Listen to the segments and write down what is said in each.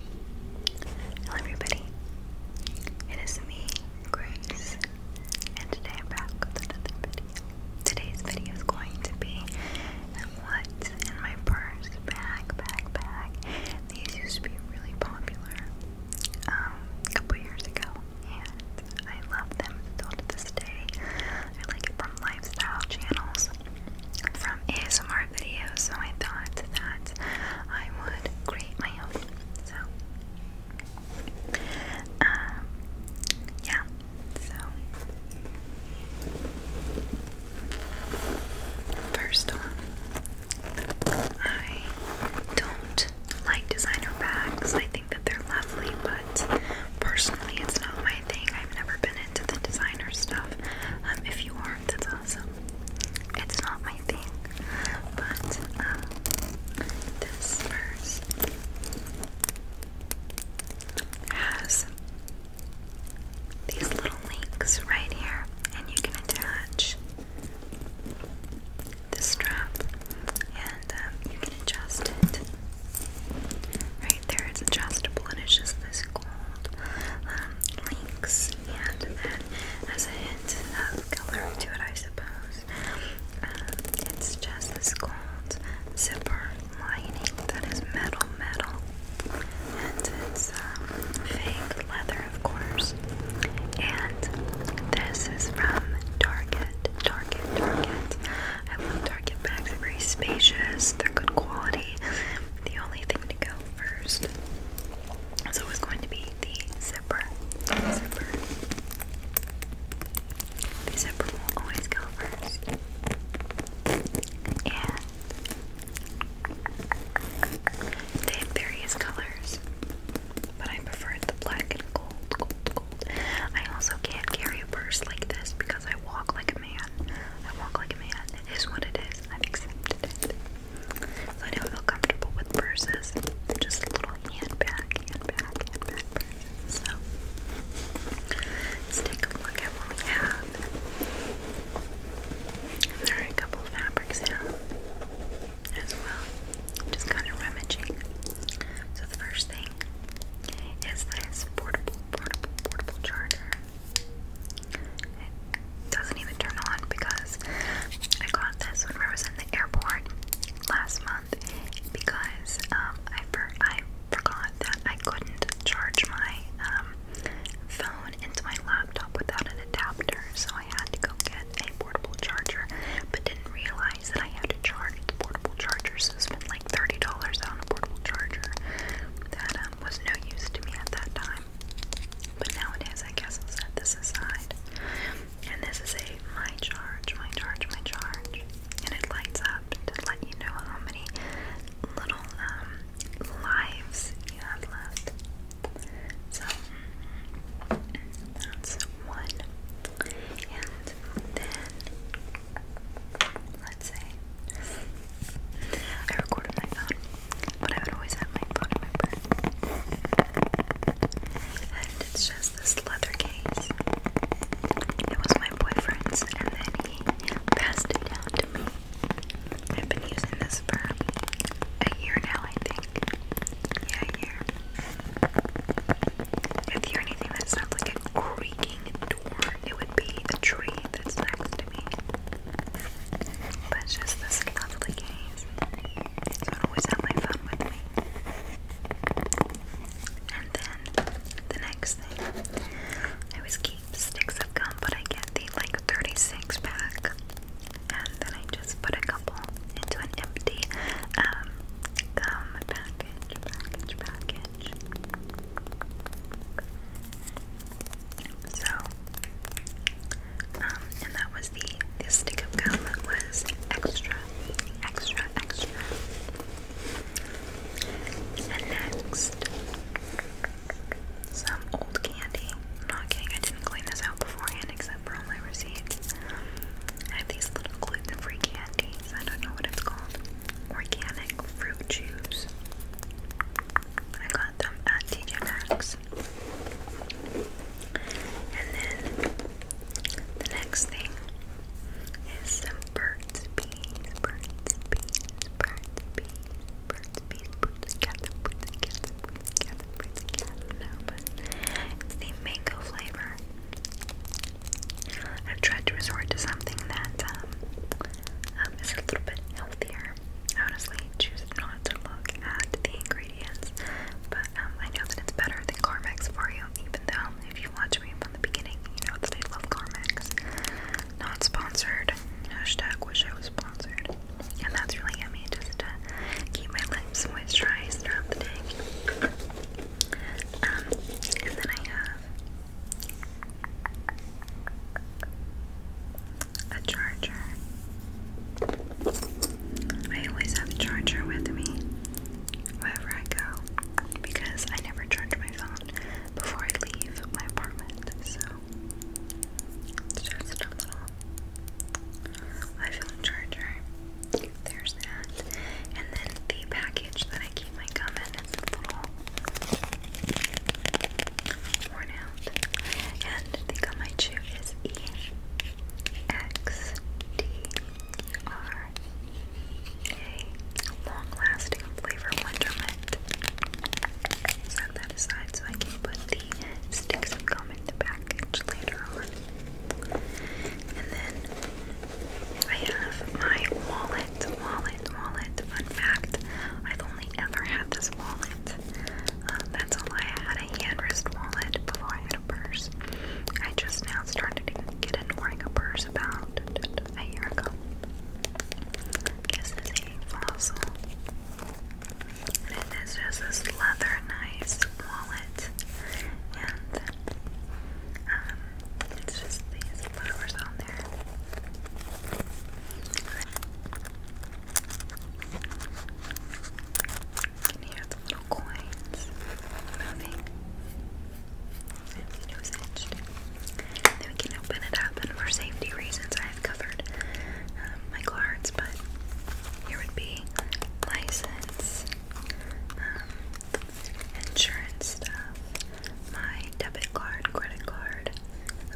Hello everybody, it is me, Grace, and today I'm back with another video. Today's video is going to be um, what's in my purse, bag, bag, bag. These used to be really popular um, a couple years ago, and I love them still to this day. I like it from lifestyle channels, from ASMR videos, so I thought that I would create my own. So, um, yeah, so first one, I don't like designer bags, I think that they're lovely, but personally, it's not my thing. I've never been into the designer stuff. Um, if you are, that's awesome. It's not my thing, but um, this purse has these little links right here, and you can attach the strap, and um, you can adjust it. Right there, it's adjustable, and it's just this gold um, links, and then as a hint of coloring to it, I suppose. Um, it's just this gold zipper lining that is metal, metal, and it's um, fake leather, of course. And this is from Target, Target, Target. I love Target bags. They're very spacious. They're good quality. The only thing to go first so it's going to be the zipper. zipper. The zipper will always go first. And they have various colors, but I prefer the black and gold, gold, gold. I also can't carry a purse like this because I walk like a man. I walk like a man. It is what it is. I've accepted it. I don't feel comfortable with purses. Just little handbag, handbag, handbag purses. So let's take a look at what we have. there are a couple fabrics here as well. Just kind of rummaging. So the first thing is this portable, portable, portable charger. It doesn't even turn on because I got this when I was in the airport last month because um, I, for I forgot that I couldn't charge my um, phone into my laptop without an adapter, so I had to go get a portable charger, but didn't realize that I had to charge the portable charger, so I spent like $30 on a portable charger that um, was no use to me at that time. But nowadays, I guess I'll set this aside. And this is a my charge, my charge, my charge. And it lights up to let you know how many little um, lives you have left. So that's one. And then, let's say, I recorded my phone but I would always have my phone in my purse. And it's just this leather case. It was my boyfriend's, and then he passed it down to me. I've been using this for a year now, I think. Yeah, a year. If you hear anything that sounds like a creaking door, it would be a tree that's next to me. But it's just this lovely case. So I always have my phone with me. And then the next thing, I always keep sticks of gum, but I get the like 36 pack. And then I just put a couple into an empty um, gum package, package, package. So, um, and that was the, the stick of gum was extra, extra, extra. And next, some old candy. I'm not kidding, I didn't clean this out beforehand except for all my receipts. I have these little gluten free candies. I don't know what it's called. Organic fruit juice. I got them at TJ Maxx. And then the next thing is some birds, bees, birds, bees, birds, bees, birds, bees, birds, cat, birds, cat, birds, cat, birds, cat. No, it's the mango flavor. I've tried to resort to something that um, um, is a little bit healthier. I honestly choose not to look at the ingredients, but um, I know that it's better than Carmex for you, even though if you watch me from the beginning, you know that I love Carmex. Not sponsored. Hashtag wish I was sponsored. And that's really yummy just to keep my lips moisturized throughout the day. Um, and then I have a charger. I always have a charger with me wherever I go because I never charge my phone before I leave my apartment. So it's just a little iPhone charger. There's that. And then the package that I keep my gum in is this sound. And the Gamaichu is E X D R A. Long lasting flavor wonderment. Set that aside so I can put the sticks and gum in the package later on. And then I have my wallet, wallet, wallet. Fun fact I've only ever had this wallet. Uh, that's all I had a hand wrist wallet before I had a purse. I just now started to get into wearing a purse about a year ago. This is a fossil. And it is just this leather nice wallet. And um it's just these flowers on there. You can hear the little coins moving. And was Then we can open it up, and for safety reasons, I have covered um, my cards. But here would be license, um, insurance stuff, my debit card, credit card,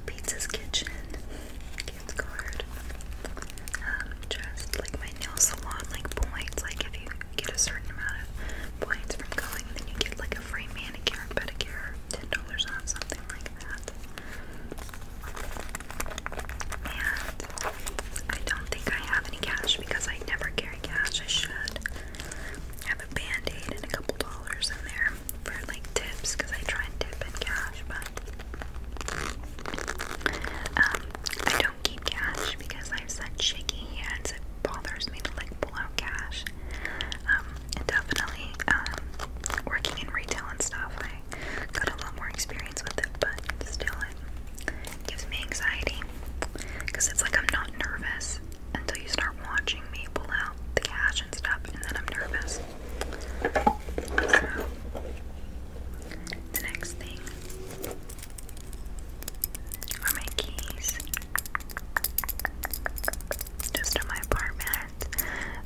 pizza's kitchen, gift card. Um, just like my nail salon, like points. Like if you get a certain amount of points from going, then you get like a free manicure and pedicure, ten dollars off, something like that. And I don't think I have any cash because I never carry cash. I should. have a bandaid and a couple dollars in there for like tips because I try and tip in cash, but um, I don't keep cash because I have such shaky hands. It bothers me to like pull out cash. Um, and definitely, um, working in retail and stuff, I got a lot more experience with it. But still, it gives me anxiety because it's like I'm not nervous until you start watching me pull out the cash and stuff, and then I'm nervous. So, the next thing are my keys. Just in my apartment,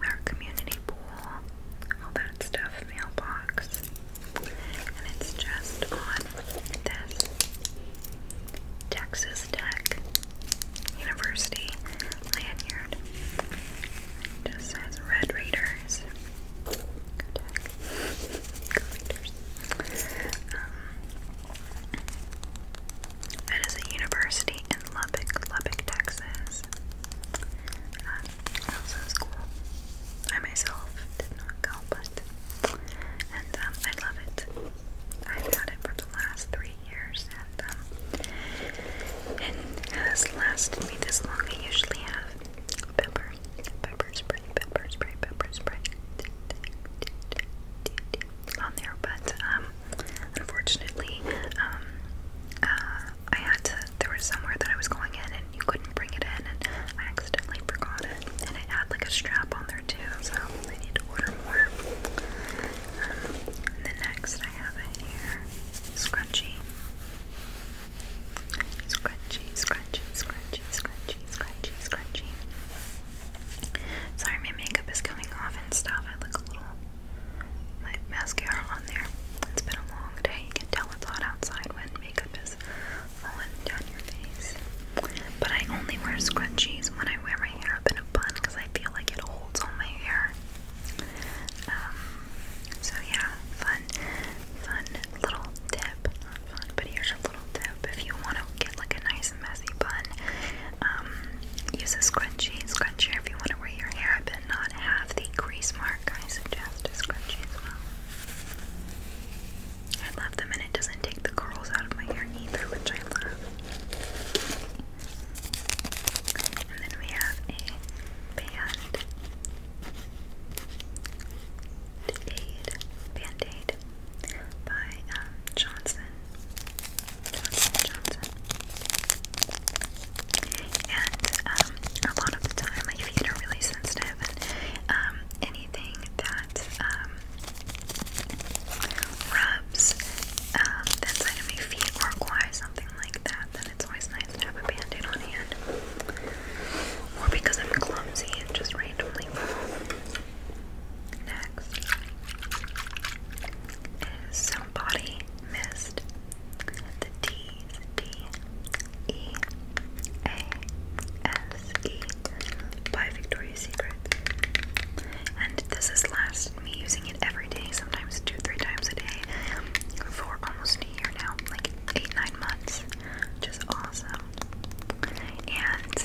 our community pool, all that stuff, mailbox. And it's just on this Texas Tech University lanyard. just says Red Raider. Raiders. Go a university in Lubbock, Lubbock, Texas. Um, also school. I myself did not go, but and um, I love it. I've had it for the last three years, and um, and has lasted me this long. I usually have pepper, pepper spray, pepper spray, pepper spray on there, but um, unfortunately, um, uh, I had There was somewhere that I was going in, and you couldn't bring it in, and I accidentally forgot it, and it had like a strap on there too, so I need to order more. Um, next, I have a scrunchie. Scrunchy, scrunchy, scrunchy, scrunchy, scrunchy, scrunchy. Sorry, my makeup is coming off and stuff. I look a little my mascara on there. It's been a long day. You can tell it's hot outside when makeup is falling down your face. But I only wear scrunchies when I wear my hair up in a bun because I feel like it holds all my hair. Um, so yeah, fun, fun little tip. but here's a little tip. If you want to get like a nice messy bun, um, use a scrunchie. Scrunchie if you want to wear your hair up not have the crease mark. I suggest a scrunchie as well. I love them, and it doesn't take the curls out of my hair either, which I love. And then we have a band Band-Aid, Band-Aid by um, Johnson. Johnson, Johnson. And um, a lot of the time my feet are really sensitive and um, anything that um, rubs um, that side of my feet or acquires something like that, it's always nice to have a bandaid on hand. Or because I'm clumsy and just randomly Next is some body mist. The D D E A S E by Victoria's Secret. And this has lasted me using it every day, sometimes two, three times a day, for almost a year for now, like eight, nine months, which awesome. And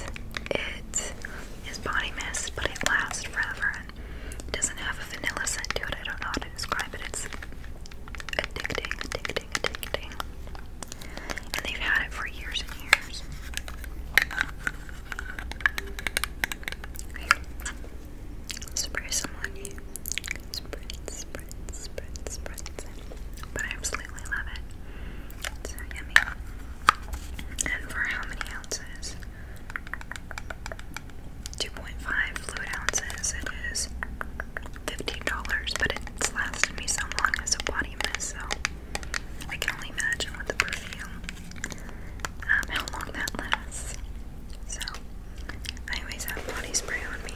it is body mist, but it lasts forever. It doesn't have a vanilla scent to it. I don't know how to describe it. It's addicting, addicting, addicting. And they've had it for years and years spray some on you. Spread, spread, spread, spread. But I absolutely love it. And for how many ounces? 2.5 fluid ounces. It is $15, but it's lasted me so long as a body mist, so I can only imagine with the perfume um, how long that lasts. So I always have body spray on me.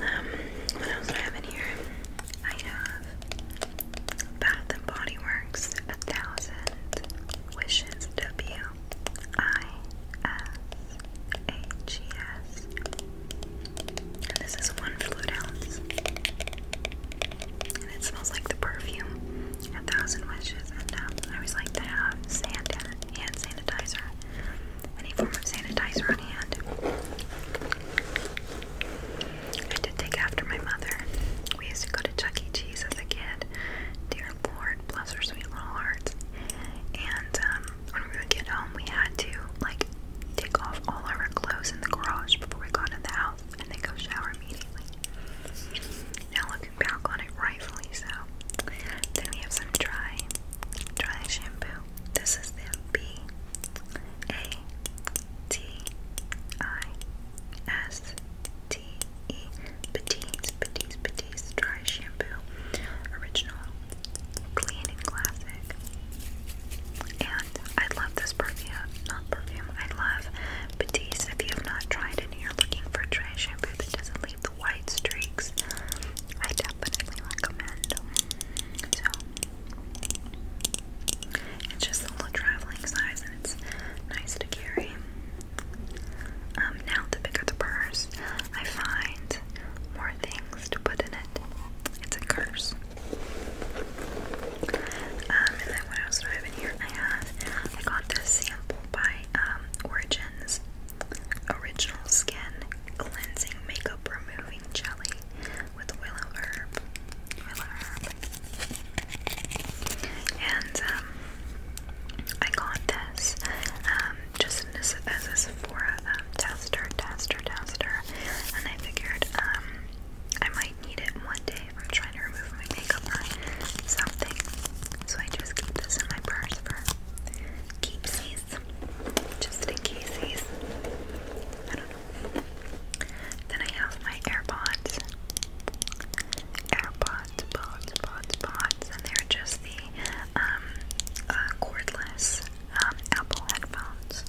Um, what else do I have in here? I have Bath and Body Works, a thousand wishes. W I S H E S. this is one flute ounce, and it smells like the perfume. A thousand wishes, and um, I always like to have sand hand sanitizer any form of sanitizer on hand. I did take after my mother. We used to go to Chuck E. Cheese as a kid. Dear Lord, bless her sweet little hearts. And um, when we would get home, we had to like take off all our clothes in the garage before we got in the house, and then go shower immediately. Now look can back on it rightfully so. Then we have some dry, dry shampoo. This is the B A T I S T E Petite Petite Dry Shampoo Original Clean and Classic. And I love this perfume, not perfume, I love Batiste. If you have not tried it and you're looking for dry shampoo that doesn't leave white streaks, I definitely recommend. So it's just a little traveling size and it's nice to carry. Um, now the bigger the purse, I find more things to put in it. It's a curse. Um, and then what else do I have in here? I have I got this sample by um, Origins Original Skin Cleansing Makeup Removing Jelly with Willow Herb. Willow Herb. And um, I got this um, just as, a Sephora tester, tester, tester. And I figured I might need it one day if I'm trying to remove my makeup or something. So I just keep this in my purse for keepsies, just in caseies. I don't know. Then I have my AirPods, AirPods, pods, pods, pods, and they're just the um, uh, cordless um, Apple headphones.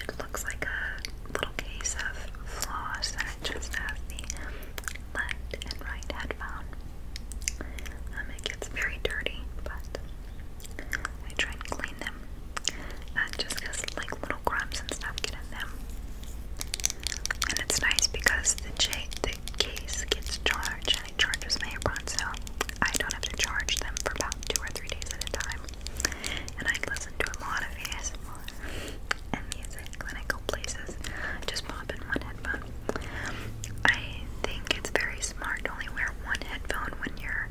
It looks like a little case of floss, and it just has the left and right headphone. Um, it gets very dirty, but I try and clean them uh, just because like little crumbs and stuff get in them. And it's nice because the, the case gets charged and it charges my AirPods, so I don't have to charge them for about two or three days at a time. And I listen to a lot of ASMR and music when I go places. Just pop in one headphone. I think it's very smart to only wear one headphone when you're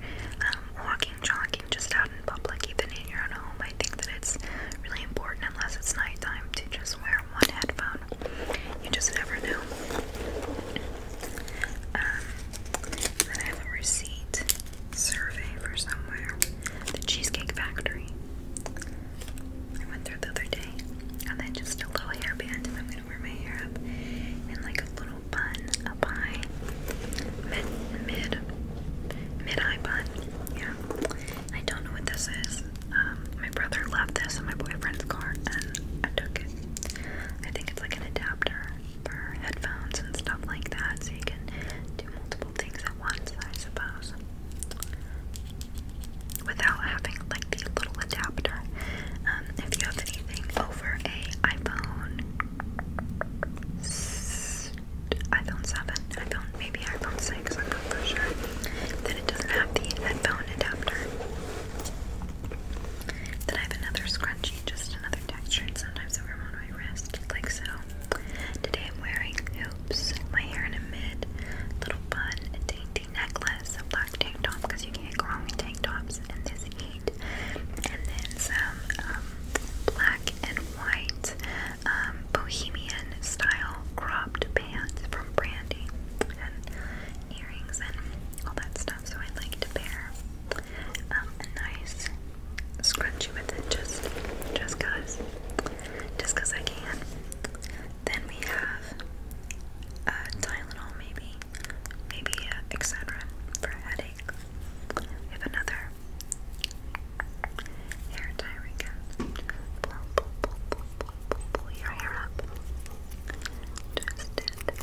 um, walking, jogging, just out in public, even in your own home. I think that it's really important, unless it's nighttime, to just wear one headphone. You just never know. Um, then I have a receipt survey for somewhere. The Cheesecake Factory. I went through the other day, and then just a little hairband, and I'm gonna wear my hair up in like a little bun up high, mid mid mid high bun. Yeah, I don't know what this is. Um, my brother left this in my boyfriend's car, and I took it. I think it's like an adapter for headphones and stuff like that, so you can do multiple things at once, I suppose without having like the little adapter. Um, if you have anything over a iPhone, iPhone 7, iPhone maybe iPhone 6, I'm not sure, then it doesn't have the headphone adapter. Then I have another scrunchie, just another texture, and sometimes over on my wrist, like so. Today I'm wearing hoops, my hair in a mid, little bun, the necklace, a black tank top, because you can't go wrong with tank tops and this eight, And then some um, black and white um, bohemian style cropped pants from Brandy, and earrings and all that stuff. So I like to pair um, a nice scrunchie with it, just just cause, just cause I can. Then we have uh, Tylenol maybe, maybe uh, for a headache. another hair tie again. Pull, pull, pull, pull, pull, pull your hair up. Twist it.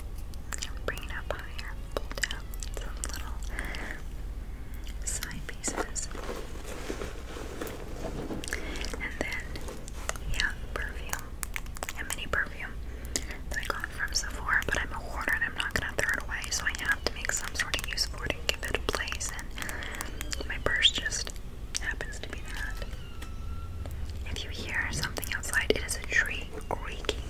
Bring it up higher. Pull down some little side pieces. And then, yeah, perfume a mini perfume that I got from Sephora, but I'm a hoarder and I'm not gonna throw it away, so I have to make some sort of use for it and give it a place. And my purse just happens to be that. If you hear something outside, it is a tree creaking.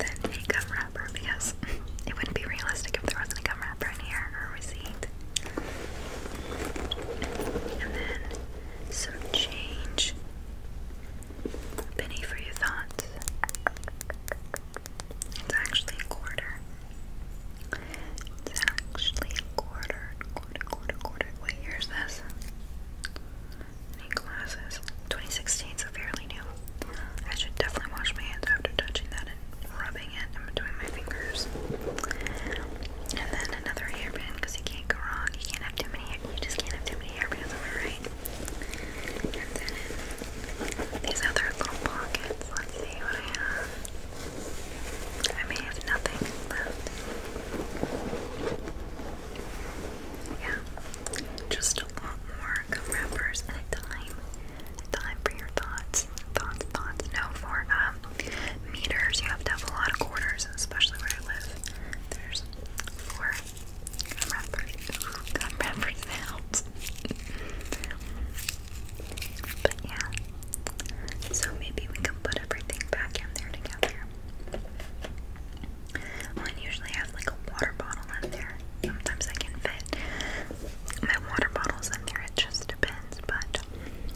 Then a gum wrapper because it wouldn't be realistic if there wasn't a gum wrapper in here or a receipt. And then some change. Penny for your thoughts. It's actually a quarter. It's actually a quarter. Quarter, quarter, quarter. What year this? Any glasses? 2016, so fairly new. I should definitely wash my hands after touching that and rubbing it. i my fingers. And then another hairpin, because you can't go wrong. You can't have too many. You just can't have too many hairpins, am I right? And then these other little pockets. Let's see what I have. I may have nothing left. Yeah, just a lot more gum wrappers a dime. A for your thoughts. Thoughts, thoughts. No, for uh, um, meters, you have to have a lot of quarters, especially where I live. There's four gum wrappers, gum wrappers out. but yeah, so maybe we can put everything back in there together. I usually have like a water bottle in there. Sometimes I can fit my water bottles in there, it just depends, but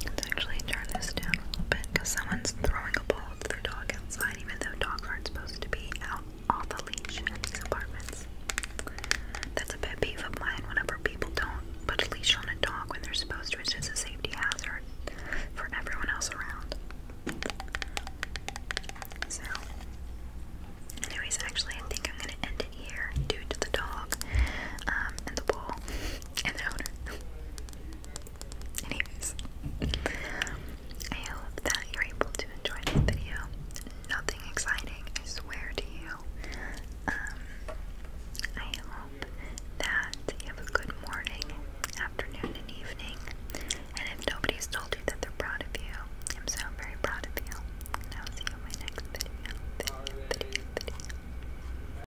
Let's actually turn this down a little bit because someone's throwing a ball at their dog outside, even though dogs aren't supposed to be out off the leash in these apartments. That's a pet peeve of mine whenever people don't put a leash on a dog when they're supposed to. It's just a safety hazard for everyone else around. So, anyways, actually, I think I'm gonna end it here due to the dog um, and the ball and the owner. Anyways, I hope that you're able to enjoy this video. Nothing exciting, I swear to you. Um, I hope that you have a good morning, afternoon, and evening. And if nobody's told you that they're proud of you, I'm so very proud of you. I'll see you in my next video.